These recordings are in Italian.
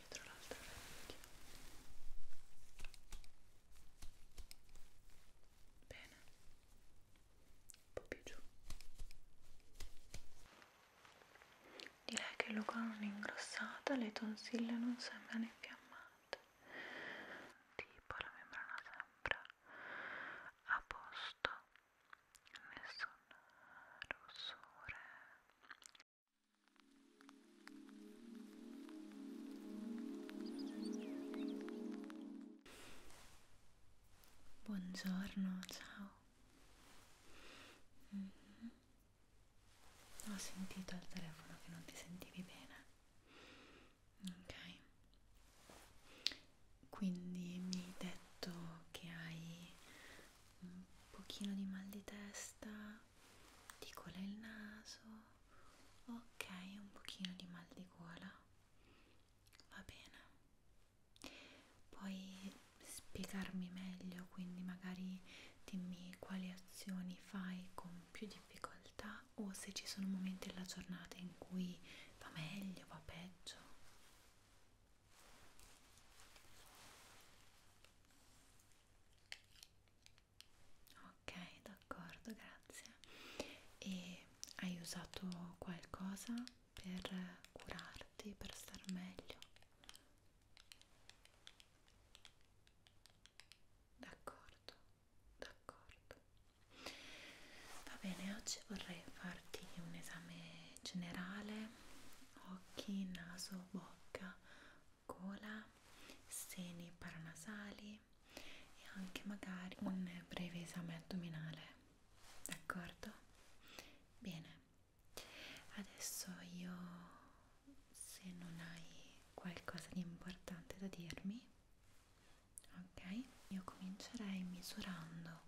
dietro l'altra orecchia bene un po' più giù direi che Luca non è ingrossata le tonsille non sembrano infiammate tipo la membrana sembra a posto nessun rossore Buongiorno, ciao. Mm -hmm. Ho sentito al telefono che non ti sentivi bene. Ok. Quindi mi hai detto che hai un pochino di mal di testa, di gola il naso ok un pochino di mal di gola va bene puoi spiegarmi meglio quindi magari dimmi quali azioni fai con più difficoltà o se ci sono momenti della giornata in cui va meglio va peggio ok d'accordo grazie e hai usato qualcosa per curarti per star meglio d'accordo d'accordo va bene oggi vorrei farti un esame generale occhi naso bocca gola, seni paranasali e anche magari un breve esame addominale. D'accordo? Bene. Adesso io, se non hai qualcosa di importante da dirmi, ok? Io comincerei misurando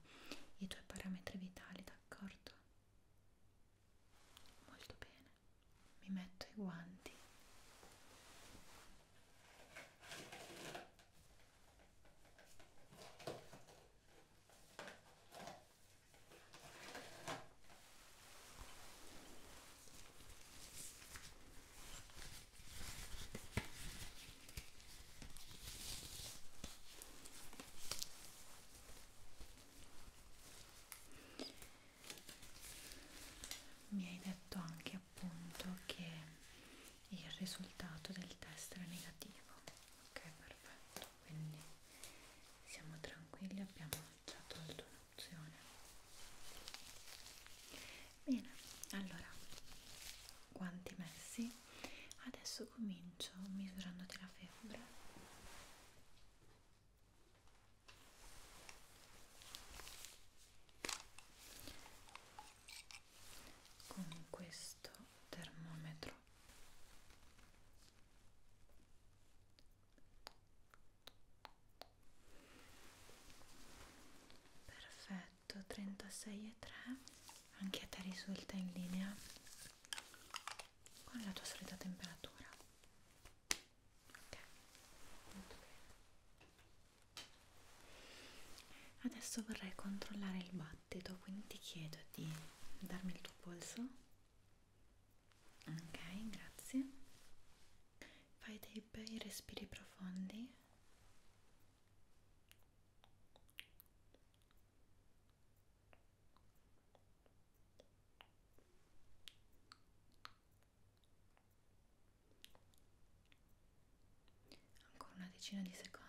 i tuoi parametri vitali, d'accordo? molto bene mi metto i guanti mi hai detto anche appunto che il risultato del test era negativo ok perfetto quindi siamo tranquilli abbiamo già tolto un'opzione bene allora guanti messi adesso comincio misurandoti la febbre con questo termometro perfetto 36 e 3 anche a te risulta in linea con la tua solita temperatura ok molto bene adesso vorrei controllare il battito quindi ti chiedo di darmi il tuo polso ok grazie fai dei bei respiri profondi ancora una decina di secondi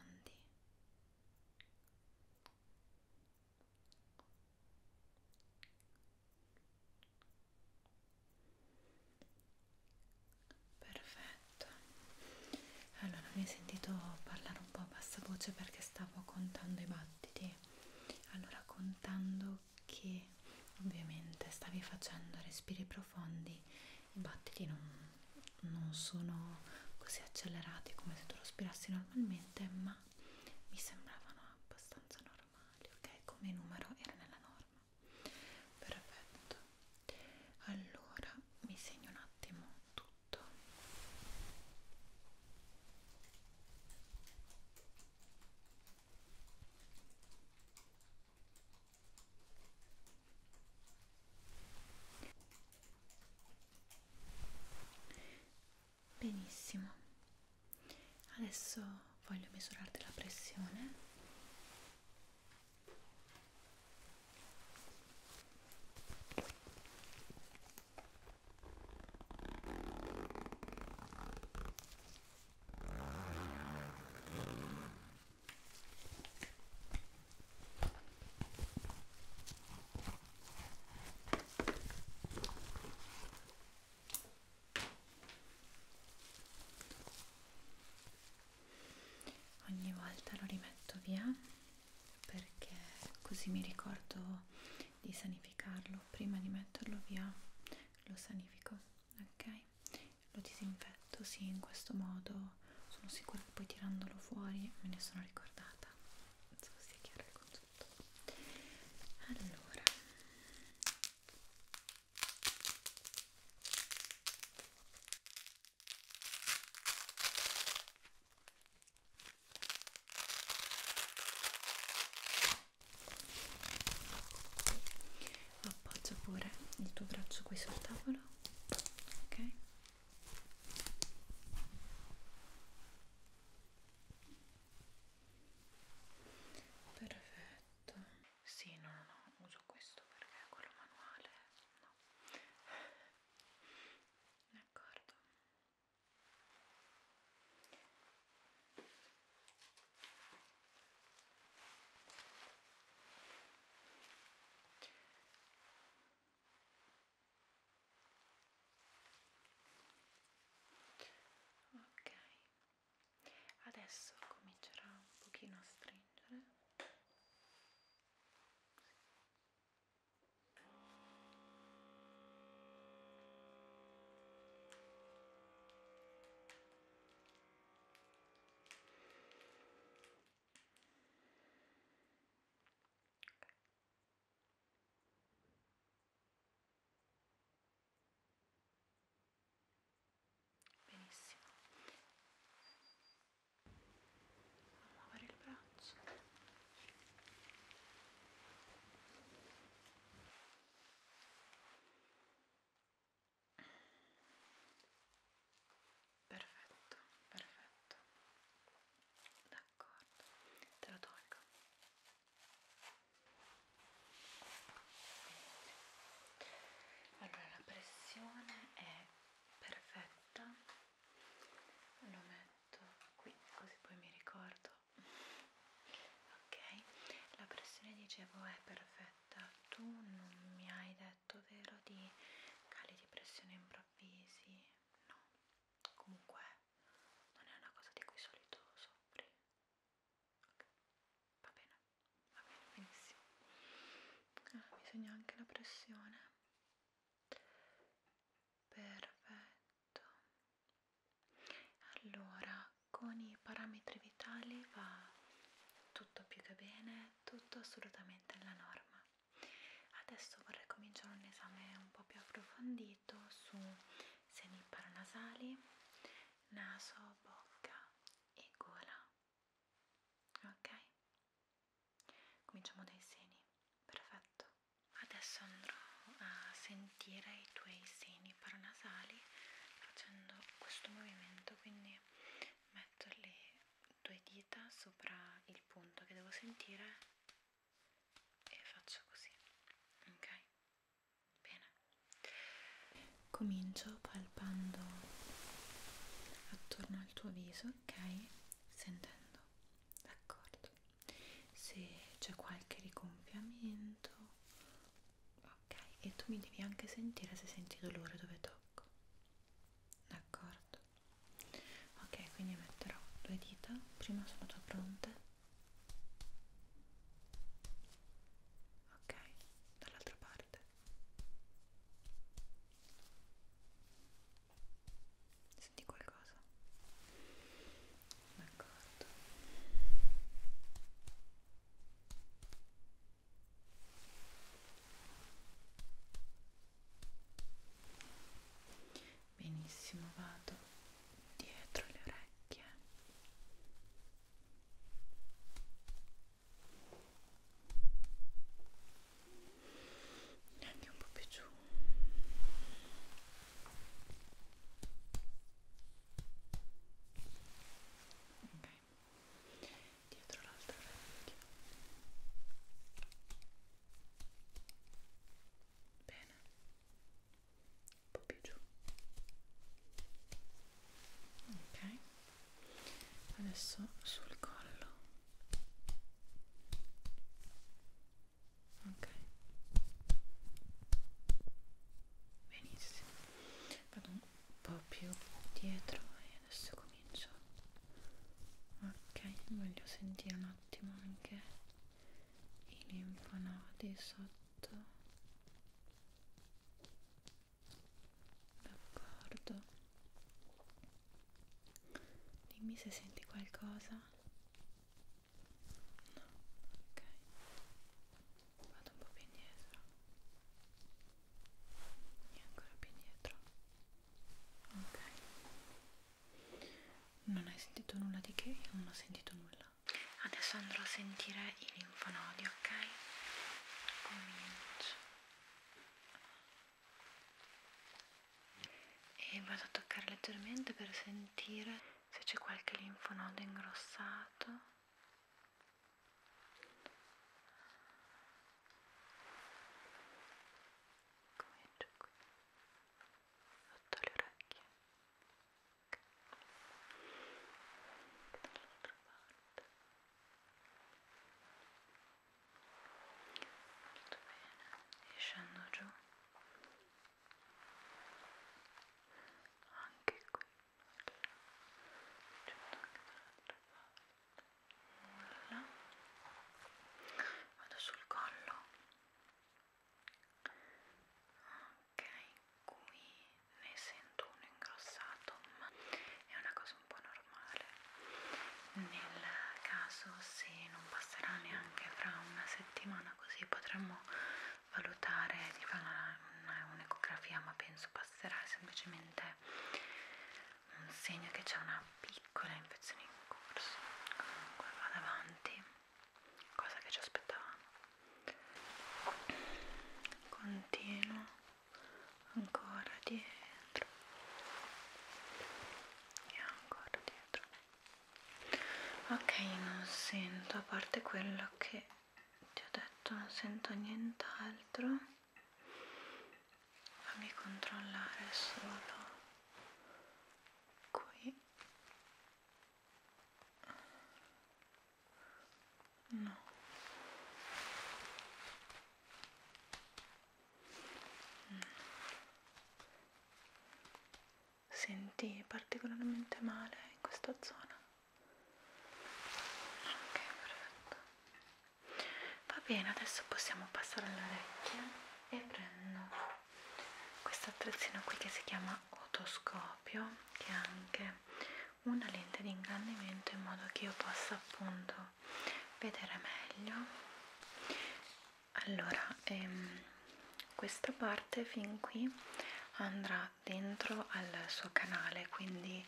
perfetto allora mi hai sentito parlare un po' a bassa voce perché stavo contando i battiti allora contando che ovviamente stavi facendo respiri profondi i battiti non, non sono così accelerati come se tu respirassi normalmente ma mi sembravano abbastanza normali ok come numero era nella norma perfetto allora mi segno un attimo tutto sotto benissimo adesso voglio misurarti la pressione Ogni volta lo rimetto via perché così mi ricordo di sanificarlo prima di metterlo via lo sanifico ok lo disinfetto sì in questo modo sono sicura che poi tirandolo fuori me ne sono ricordata non so se sia chiaro il concetto allora appoggia pure il tuo braccio qui sul tavolo ok perfetto sì no no no uso questo perché è quello manuale no d'accordo ok adesso comincerà un pochino a stringere Benissimo. Muovere il braccio faccia. Perfetto, perfetto. D'accordo, te lo tolgo. Allora la pressione è perfetta. Lo metto metto qui così poi mi ricordo ok la pressione dicevo è perfetta tu non mi hai detto vero di cali di pressione improvvisi no comunque non è una cosa di cui solito soffri ok va bene va bene benissimo ah, bisogna anche la pressione perfetto perfetto allora con i parametri vitali va tutto più che bene tutto assolutamente alla norma adesso vorrei cominciare un esame un po' più approfondito su seni paranasali naso bocca e gola ok cominciamo dai seni perfetto Adesso andrò a sentire i tuoi seni paranasali facendo questo movimento, quindi metto le due dita sopra il punto che devo sentire e faccio così, ok? Bene. Comincio palpando attorno al tuo viso, ok? Sentendo, d'accordo se c'è qualche rigonfiamento ok e tu mi devi anche sentire se senti dolore dove tocco d'accordo ok quindi metterò due dita prima sulla tua fronte ok dall'altra parte senti qualcosa? d'accordo benissimo vado dietro le orecchie neanche un po' più giù ok dietro l'altro orecchio bene un po' più giù ok adesso sul collo ok benissimo vado un po' più dietro e adesso comincio ok voglio sentire un attimo anche i linfonodi sotto d'accordo dimmi se senti qualcosa No, ok. Vado un po' più indietro. E ancora più indietro. Ok. Non hai sentito nulla di che? Io non ho sentito nulla. Adesso andrò a sentire i linfonodi, ok? Comincio e vado a toccare leggermente per sentire se c'è qualche linfonodo ingrossato comincio qui sotto le orecchie dall'altra parte molto bene e scendo giù anche qui nulla vado sul collo ok qui ne sento uno ingrossato ma è una cosa un po' normale nel caso se non passerà neanche fra una settimana settimana così potremmo valutare di fare un'ecografia ma penso passerà è semplicemente un segno che c'è una piccola infezione in corso comunque vado avanti cosa che ci aspettavamo continuo ancora dietro e ancora dietro ok non sento a parte quello che ti ho detto non sento nient'altro fammi controllare solo qui no senti particolarmente male in questa zona? Ok, perfetto. Va bene, adesso possiamo passare all'orecchia e prendo questo attrezzino qui che si chiama otoscopio, che è anche una lente di ingrandimento in modo che io possa appunto vedere meglio allora ehm, questa parte fin qui andrà dentro al suo canale quindi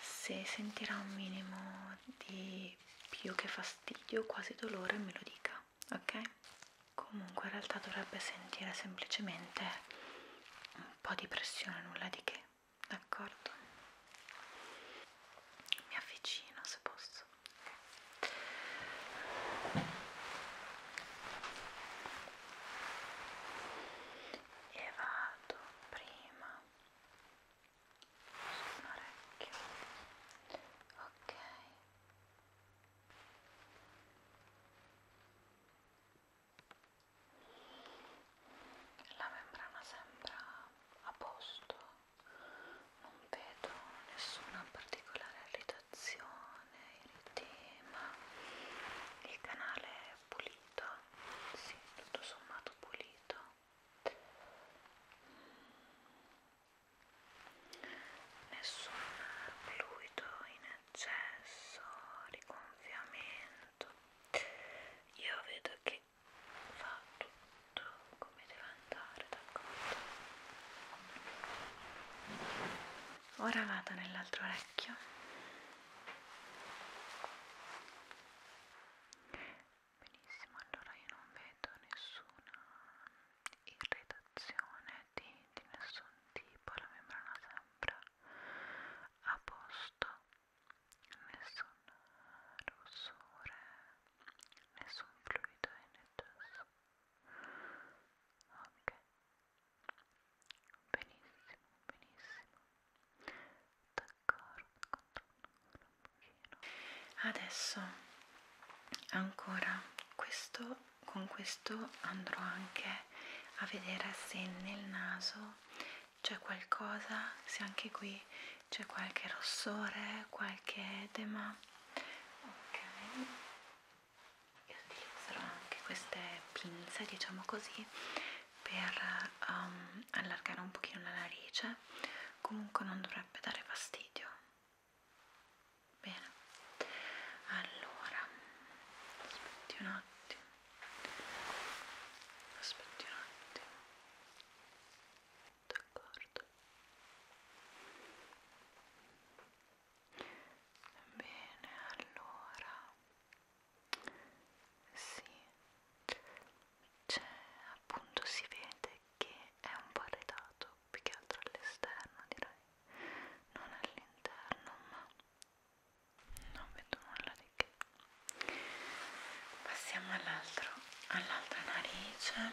se sentirà un minimo di più che fastidio quasi dolore me lo dica ok comunque in realtà dovrebbe sentire semplicemente un po di pressione nulla di che d'accordo mi avvicino se posso e vado prima su un orecchio ok la membrana sembra a posto non vedo nessuna particolare irritazione, eritema, il canale è pulito, sì, tutto sommato pulito. Nessun fluido in eccesso, riconfiamento. Io vedo che fa tutto tutto come deve andare, d'accordo? Ora vado nell'altro orecchio. Benissimo, allora io non vedo nessuna irritazione di, di nessun tipo, la membrana sembra a posto, nessun rossore, nessun fluido in eccesso ok benissimo benissimo d'accordo controllo un pochino adesso ancora questo con questo andrò anche a vedere se nel naso c'è qualcosa se anche qui c'è qualche rossore qualche edema ok e utilizzerò anche queste pinze diciamo così per um, allargare un pochino la narice comunque non dovrebbe dare fastidio bene allora aspetti un attimo aspetti un attimo d'accordo? Bene, allora sì, c'è cioè, appunto si vede che è un po' arredato, più che altro all'esterno direi, non all'interno, ma non vedo nulla di che. Passiamo all'altra all narice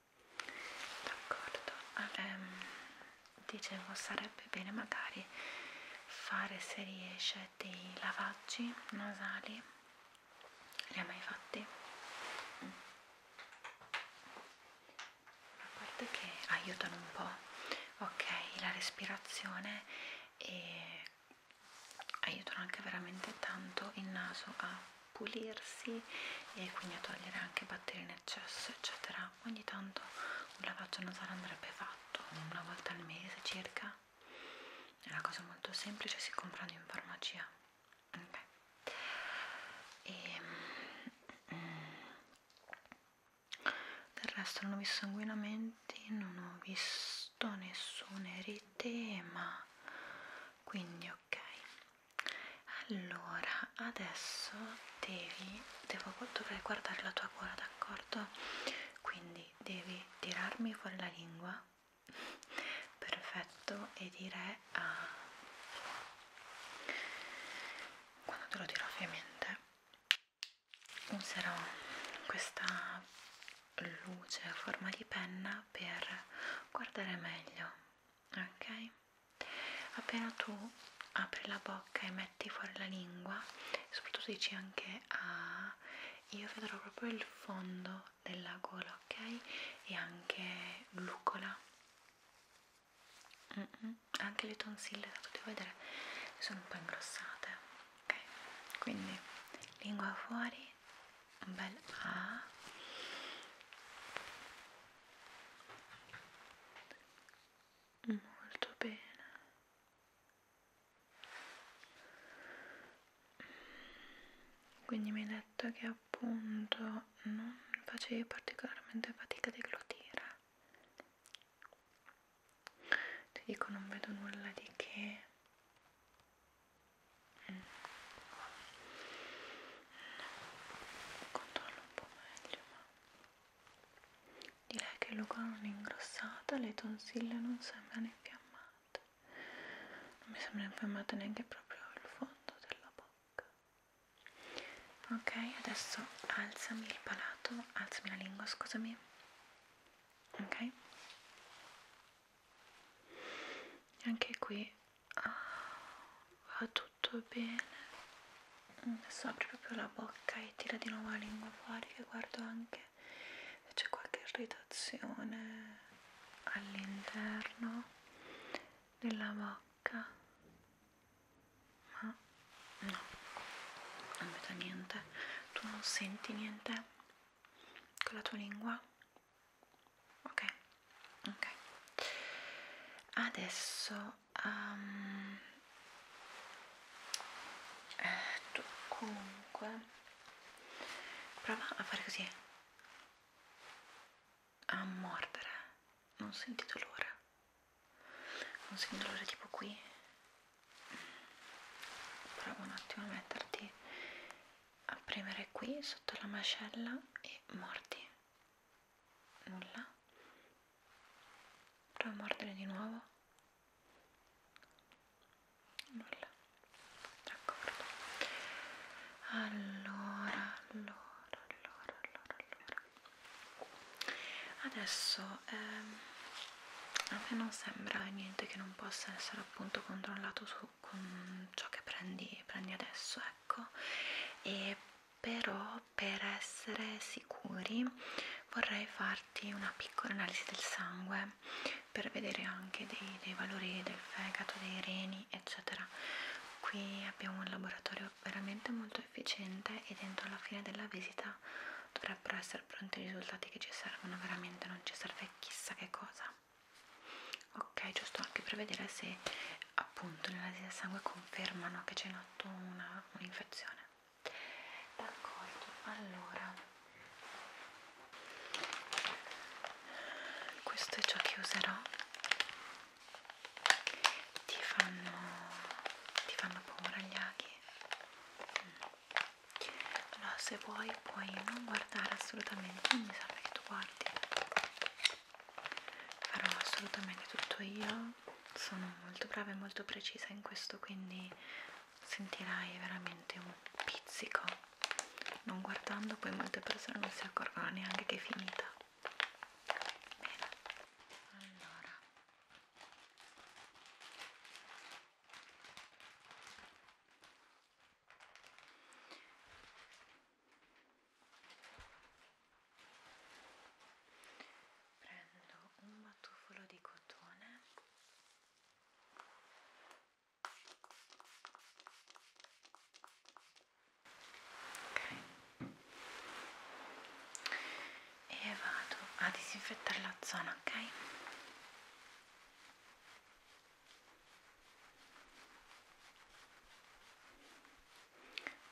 d'accordo ehm, dicevo sarebbe bene magari fare se riesce dei lavaggi nasali li ha mai fatti? Mm. a parte che aiutano un po' ok la respirazione e aiutano anche veramente tanto il naso a pulirsi e quindi a togliere anche batteri in eccesso eccetera ogni tanto un lavaggio nasale andrebbe fatto una volta al mese circa è una cosa molto semplice si comprano in farmacia okay. e, ehm, mm, del resto non ho visto sanguinamenti non ho visto nessun erite ma quindi ho ok allora adesso devi devo dovrei guardare la tua gola d'accordo quindi devi tirarmi fuori la lingua perfetto e dire a ah. quando te lo tiro ovviamente userò questa luce a forma di penna per guardare meglio ok? Appena tu apri la bocca e metti fuori la lingua, soprattutto dici anche a ah, io vedrò proprio il fondo della gola, ok? E anche glucola, mm -mm. anche le tonsille, da tutti vedere, sono un po' ingrossate, ok? Quindi lingua fuori, un bel A. Ah molto bene quindi mi hai detto che appunto non facevi particolarmente fatica a deglutire ti dico non vedo nulla di che mm controllo un po' meglio ma direi che Luca non è ingrossata le tonsille non sembrano infiammate non mi sembra infiammata neanche proprio il fondo della bocca ok adesso alzami il palato alzami la lingua scusami ok anche qui Ah, va tutto bene adesso apri proprio la bocca e tira di nuovo la lingua fuori che guardo anche se c'è qualche irritazione all'interno della bocca ma no non vedo niente tu non senti niente con la tua lingua ok ok adesso um, eh, tu comunque prova a fare così a mordere non senti dolore non senti dolore tipo qui prova un attimo a metterti a premere qui sotto la mascella e mordi Nulla. Prova a mordere di nuovo. Nulla. D'accordo. Allora, allora, allora, allora, allora. Adesso ehm, a me non sembra niente che non possa essere appunto controllato su con ciò che prendi, prendi adesso, ecco. E però per essere sicuri vorrei farti una piccola analisi del sangue per vedere anche dei, dei valori del fegato, dei reni eccetera qui abbiamo un laboratorio veramente molto efficiente e dentro alla fine della visita dovrebbero essere pronti i risultati che ci servono veramente non ci serve chissà che cosa ok giusto anche per vedere se appunto l'analisi del sangue confermano che c'è in atto un'infezione un d'accordo allora questo è ciò che userò ti fanno ti fanno paura gli aghi mm. allora se vuoi puoi non guardare assolutamente non mi serve che tu guardi farò assolutamente tutto io sono molto brava e molto precisa in questo quindi sentirai veramente un pizzico non guardando poi molte persone non si accorgono neanche che è finita bene allora prendo un battufolo di cotone ok e vado a disinfettare la zona ok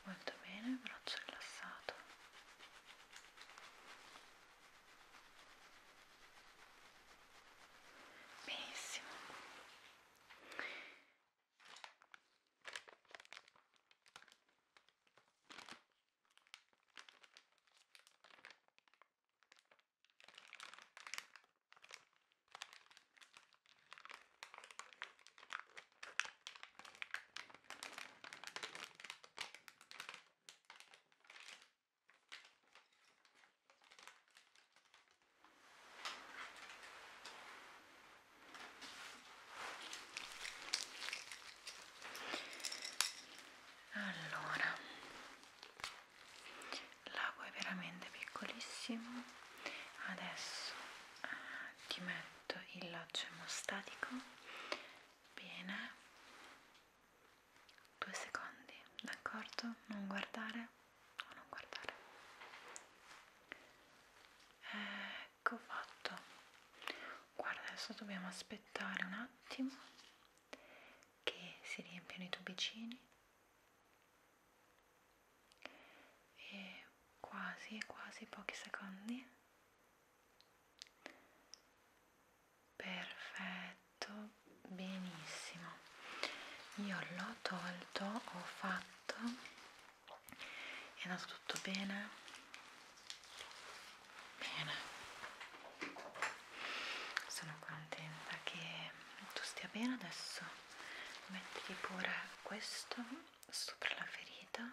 Molto bene, braccio rilassato. Benissimo. Allora, l'ago è veramente piccolissimo. Adesso ti metto il laccio emostatico bene due secondi d'accordo non guardare o non guardare ecco fatto guarda adesso dobbiamo aspettare un attimo che si riempiano i tubicini e quasi quasi pochi secondi perfetto benissimo io l'ho tolto ho fatto è andato tutto bene bene sono contenta che tu stia bene adesso metti pure questo sopra la ferita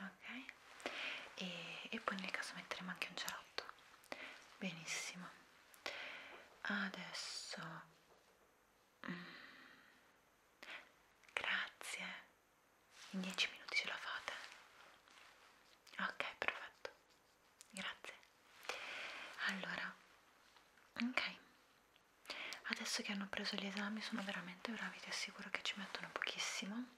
ok e, e poi nel caso metteremo anche un cerotto benissimo adesso mm, grazie in 10 minuti ce la fate ok perfetto grazie allora ok Adesso che hanno preso gli esami sono veramente bravi, ti assicuro che ci mettono pochissimo.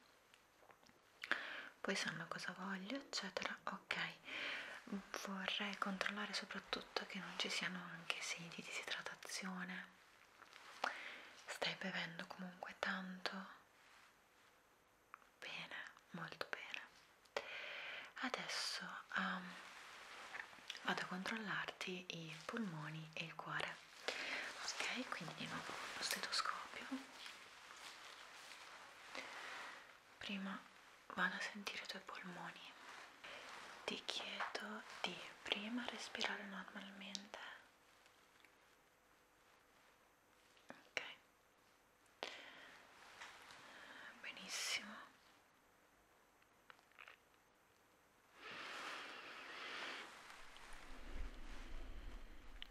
Poi sanno cosa voglio, eccetera. Ok, vorrei controllare soprattutto che non ci siano anche segni di disidratazione. Stai bevendo comunque tanto? Bene, molto bene. Adesso um, vado a controllarti i polmoni e il cuore ok quindi di nuovo lo stetoscopio prima vado a sentire i tuoi polmoni ti chiedo di prima respirare normalmente ok benissimo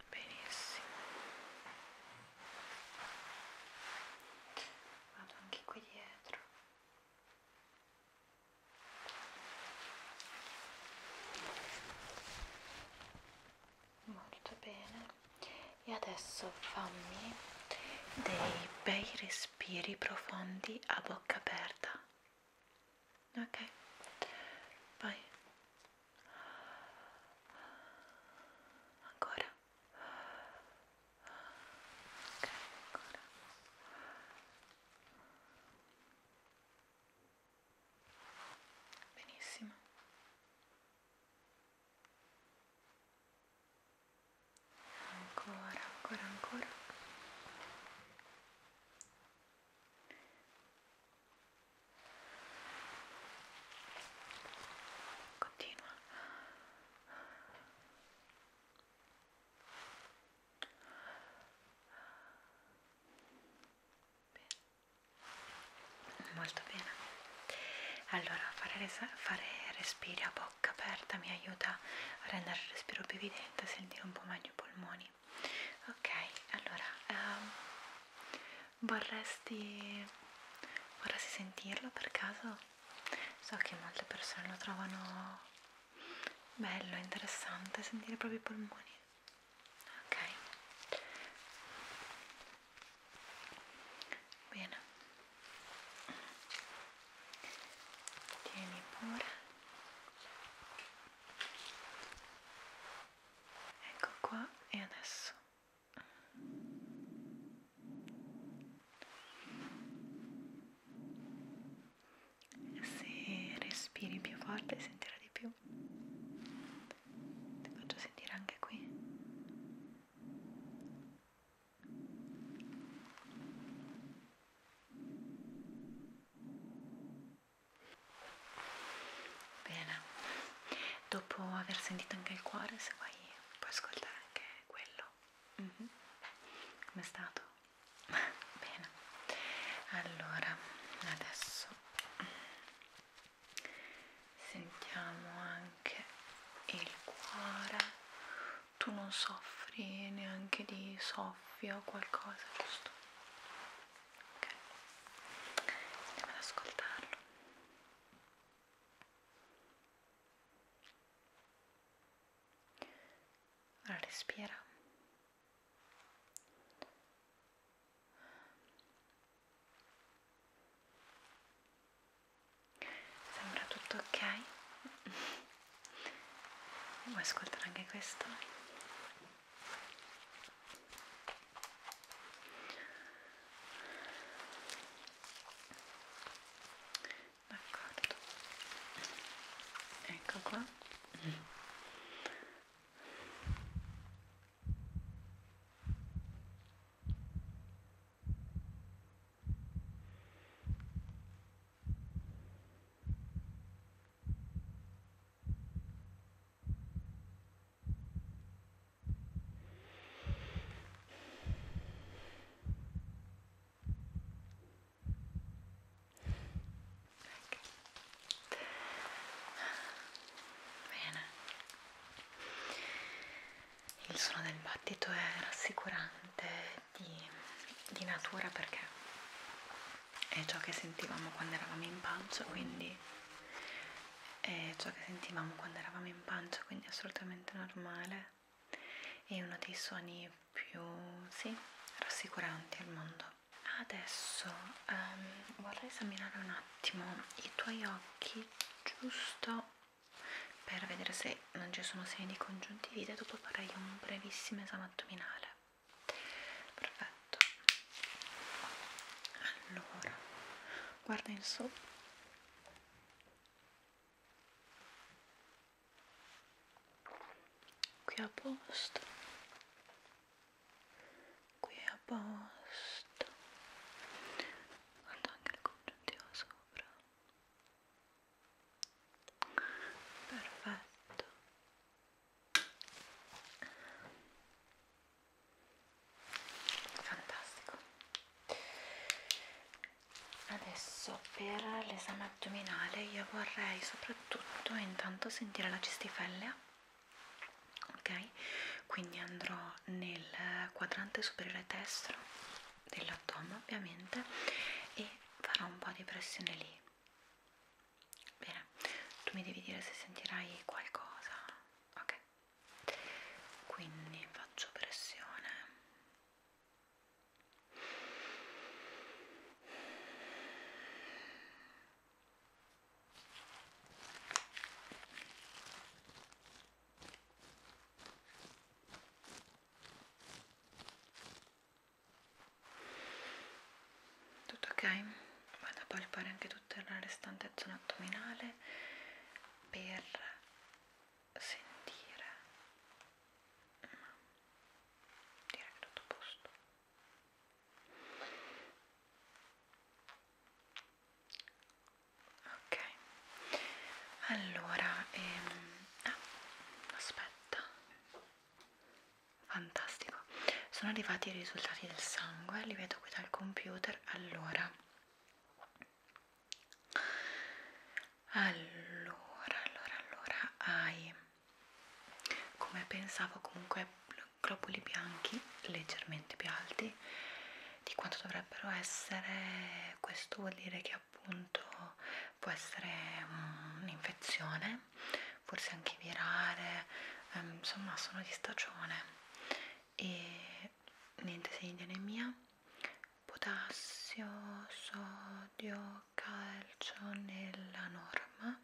benissimo vado anche qui dietro molto bene e adesso fammi dei bei risvolti respiri profondi a bocca aperta. Ok, vai. Ancora. Ok, ancora. Benissimo ancora, ancora, ancora continua Bene. molto bene allora fare, fare respiri a poco bocca aperta mi aiuta a rendere il respiro più evidente, a sentire un po' meglio i polmoni. Ok, allora um, vorresti, vorresti sentirlo per caso? So che molte persone lo trovano bello, interessante sentire i propri polmoni. Ok, bene tieni pure ecco qua e adesso se respiri più forte sentirà di più ti faccio sentire anche qui Bene, dopo aver sentito anche il cuore, se vuoi puoi ascoltare anche quello. Mm -hmm. Com'è stato? Bene, allora adesso sentiamo anche il cuore tu non soffri neanche di soffio o qualcosa, giusto? Ok, andiamo ad ascoltarlo. Ora respira. Sembra tutto ok? Vuoi ascoltare anche questo? D'accordo. Ecco qua. Bene, il suono del battito è rassicurante di, di natura perché è ciò che sentivamo quando eravamo in pancia, quindi è ciò che sentivamo quando eravamo in pancia, quindi è assolutamente normale. È uno dei suoni più sì, rassicuranti al mondo. Adesso um, vorrei esaminare un attimo i tuoi occhi, giusto per vedere se non ci sono segni di congiuntivite dopo farei un brevissimo esame addominale perfetto allora guarda in su qui a posto qui a posto guarda anche il congiuntivo sopra perfetto fantastico adesso per l'esame addominale io vorrei soprattutto intanto sentire la cistifellea ok quindi andrò nel quadrante superiore destro dell'autunno ovviamente e farò un po' di pressione lì bene tu mi devi dire se sentirai qualcosa ok quindi faccio pressione tutto ok? Vado a palpare anche tutta la restante zona addominale per sentire. Ma mm, direi che tutto a posto. Ok allora ehm, ah, aspetta fantastico sono arrivati i risultati del sangue li vedo qui dal computer allora allora allora allora hai come pensavo comunque globuli bianchi leggermente più alti di quanto dovrebbero essere questo vuol dire che appunto può essere mm, un'infezione, forse anche virale, ehm, insomma sono di stagione e niente segni di anemia, potassio, sodio, calcio nella norma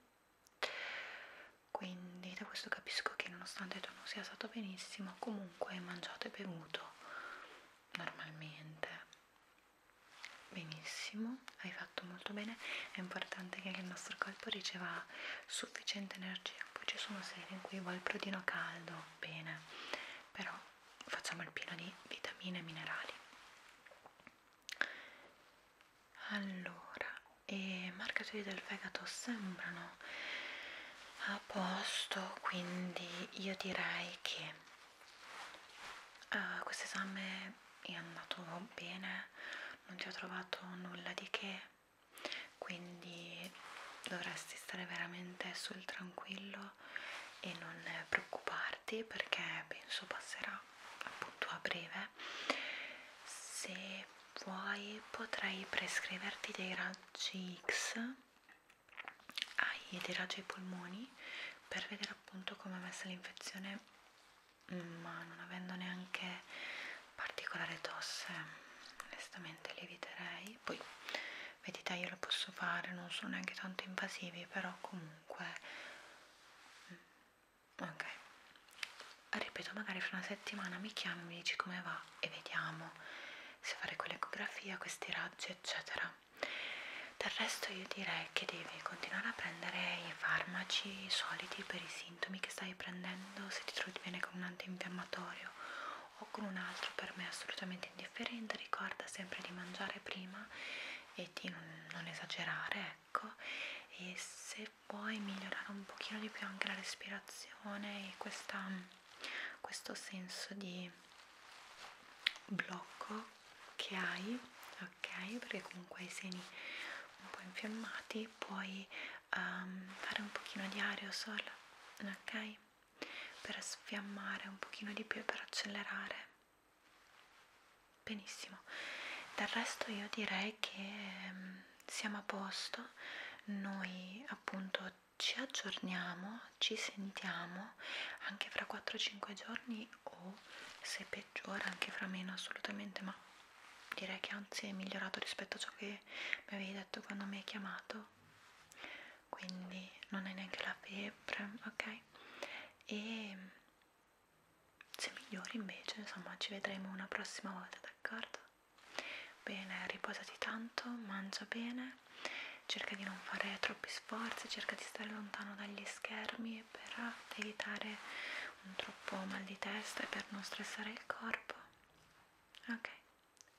quindi da questo capisco che nonostante tu non sia stato benissimo comunque hai mangiato e bevuto normalmente Benissimo, hai fatto molto bene, è importante che il nostro corpo riceva sufficiente energia, poi ci sono sere in cui vuoi il prodino caldo, bene, però facciamo il pieno di vitamine e minerali. Allora, i marcatori del fegato sembrano a posto, quindi io direi che Uh, questo esame è andato bene, non ti ho trovato nulla di che, quindi dovresti stare veramente sul tranquillo e non preoccuparti perché penso passerà appunto a breve. Se vuoi potrai prescriverti dei raggi X ai ederagi ai polmoni per vedere appunto come è messa l'infezione ma non avendo neanche particolare tosse onestamente li eviterei poi vedete io lo posso fare non sono neanche tanto invasivi però comunque mm, ok ripeto magari fra una settimana mi chiami mi dici come va e vediamo se fare quell'ecografia questi raggi eccetera del resto io direi che devi continuare a prendere i farmaci soliti per i sintomi che stai prendendo, se ti trovi bene con un antinfiammatorio o con un altro per me è assolutamente indifferente, ricorda sempre di mangiare prima e di non, non esagerare, ecco, e se puoi migliorare un pochino di più anche la respirazione e questa questo senso di blocco che hai, ok? Perché comunque hai i seni un po' infiammati, puoi um, fare un pochino di aerosol, ok? Per sfiammare un pochino di più e per accelerare. Benissimo, del resto io direi che um, siamo a posto, noi appunto ci aggiorniamo, ci sentiamo anche fra 4-5 giorni o se peggiora anche fra meno assolutamente, ma direi che anzi è migliorato rispetto a ciò che mi avevi detto quando mi hai chiamato. Quindi non hai neanche la febbre, ok? E se migliori invece, insomma, ci vedremo una prossima volta, d'accordo? Bene, riposati tanto, mangia bene cerca di non fare troppi sforzi, cerca di stare lontano dagli schermi per evitare un troppo mal di testa e per non stressare il corpo. Ok,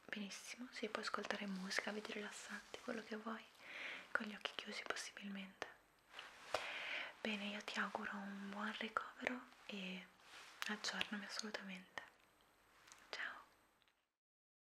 benissimo, si può ascoltare musica, video rilassanti, quello che vuoi, con gli occhi chiusi possibilmente. Bene, io ti auguro un buon ricovero e aggiornami assolutamente. Ciao!